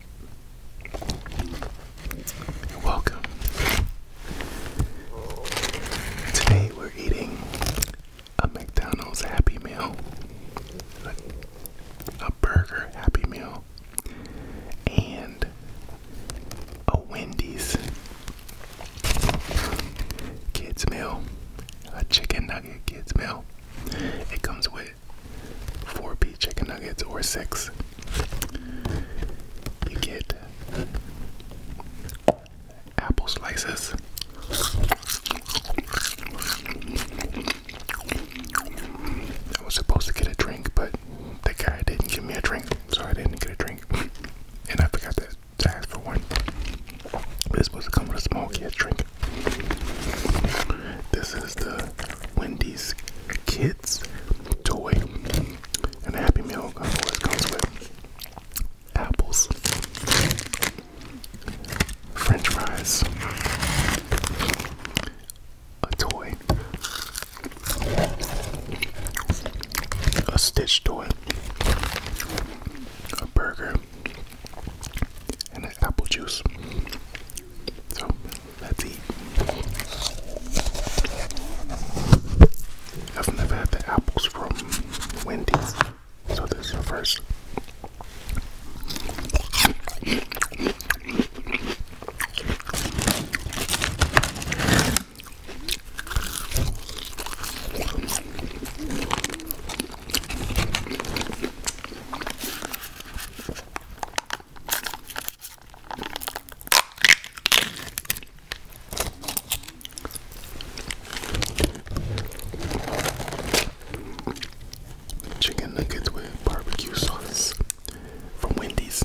You're welcome. Today we're eating a McDonald's Happy Meal, a, burger Happy Meal, and a Wendy's kids meal, a chicken nugget kids meal. It comes with four P chicken nuggets or six. You get apple slices. I was supposed to get a drink, but the guy didn't give me a drink, so I didn't get a drink. And I forgot to ask for one. It was supposed to come with a small kid drink. This is the Wendy's Kids toy. And the Happy Meal always comes with apples, french fries, a toy, a stitch toy, a burger, and the apple juice. So let's eat. I've never had the apples from Wendy's, so this is first. Chicken nuggets with barbecue sauce from Wendy's.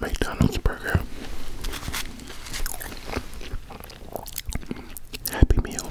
McDonald's burger, Happy Meal.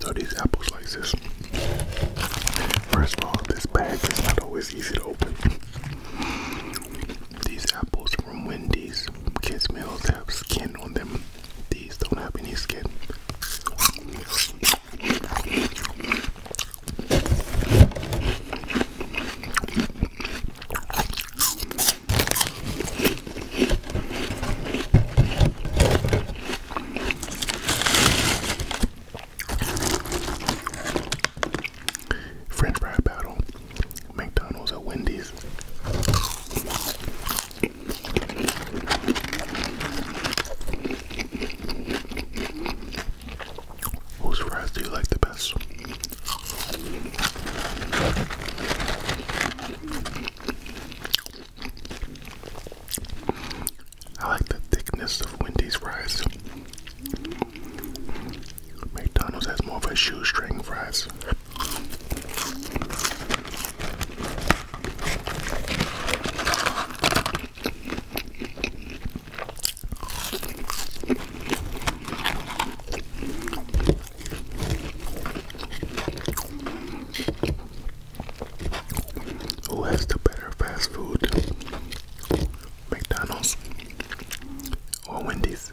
So these apples like this. First of all, this bag is not always easy to open. These apples from Wendy's kids meals have skin on them. These don't have any skin. French fry battle, McDonald's or Wendy's. Whose fries do you like the best? I like the thickness of Wendy's fries. McDonald's has more of a shoestring fries. Who has the better fast food? McDonald's or Wendy's.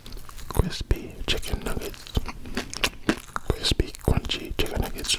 crispy chicken nuggets, crispy crunchy chicken nuggets.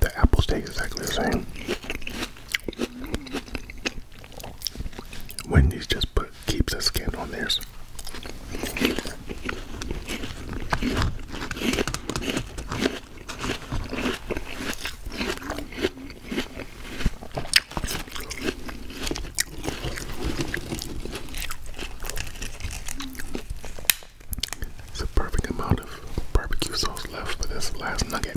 The apples taste exactly the same. Wendy's just put keeps a skin on theirs. It's a perfect amount of barbecue sauce left for this last nugget.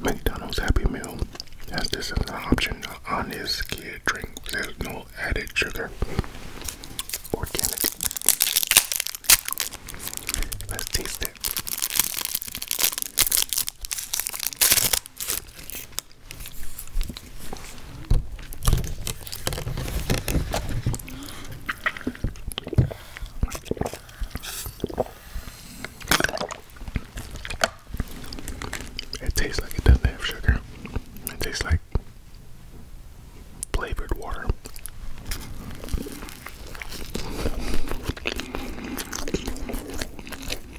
McDonald's Happy Meal has this as an option on this kid drink. There's no added sugar. Organic. Let's taste it. It tastes like it doesn't have sugar. It tastes like flavored water.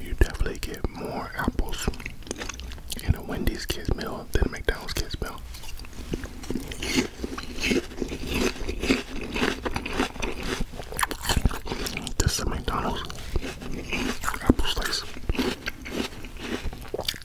You definitely get more apples in a Wendy's kids meal than a McDonald's kids meal. This a McDonald's apple slice.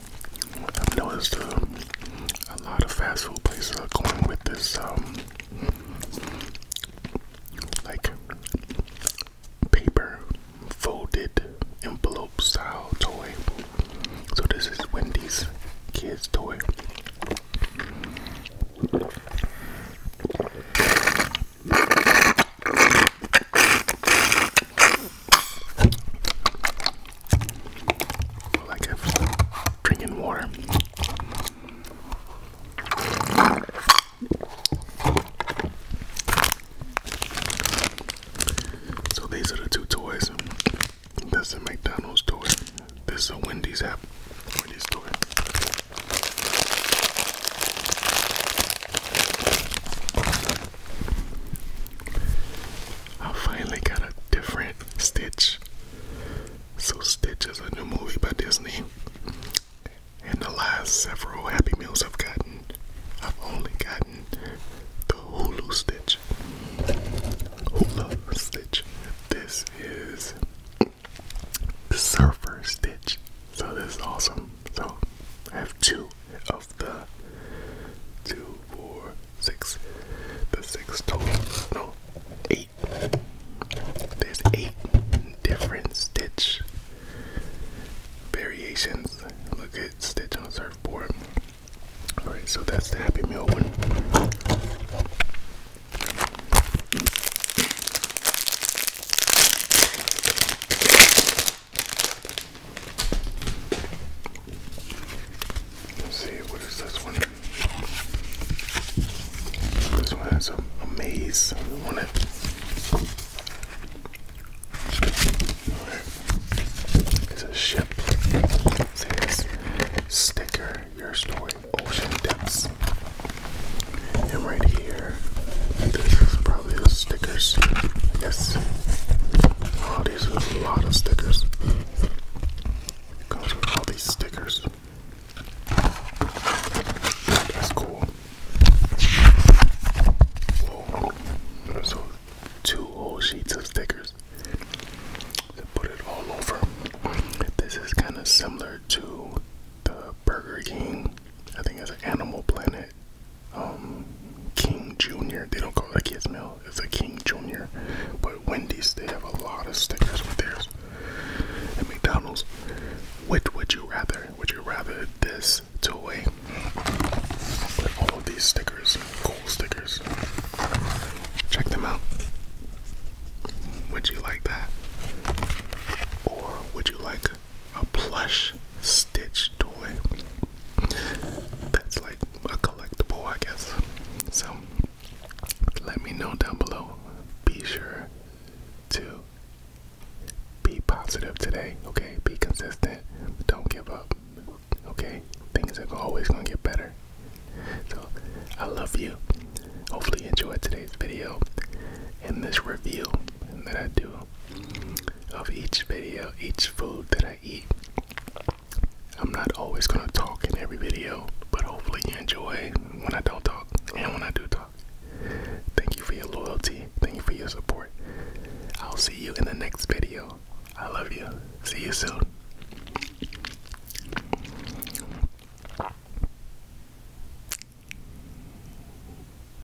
I've noticed uh, a lot of fast food places are going with this, um, like paper folded envelope style toy. So this is Wendy's kids toy like if drinking water. So these are the two toys. This is McDonald's toy. This is a Wendy's app. I finally got a different Stitch. So, Stitch is a new movie by Disney. And the last several Happy Meals I've gotten, I've only gotten the Hulu Stitch. Hula Stitch. This is the Surfer Stitch. So, this is awesome. So, I have two the two, four, six, the six total, no, eight. There's eight different stitch variations. Look at stitch on surfboard. All right, so that's the Happy Meal one. Let's see, what is this one? This one has a, a maze on it. It's a ship. See this sticker, your story, ocean depths. And right here, this is probably the stickers. Yes these a lot of stickers. comes with all these stickers. That's cool. So two whole sheets of stickers. To put it all over. This is kind of similar to the Burger King. I think it's Animal Planet. Um, King Jr. They don't call it a kids meal; it's a King Jr. But Wendy's they have a lot of stickers with theirs. And McDonald's, which would you rather? Would you rather this toy with all of these stickers, cool stickers? Check them out. Would you like that, or would you like a plush Stitch toy. That's like a collectible, I guess. So let me know down below. Be sure to be positive today, okay? Be consistent. Don't give up, okay? Things are always gonna get better. So I love you. Hopefully you enjoyed today's video and this review that I do of each video, each food that I eat. I'm not always going to talk in every video, but hopefully you enjoy when I don't talk and when I do talk. Thank you for your loyalty. Thank you for your support. I'll see you in the next video. I love you. See you soon.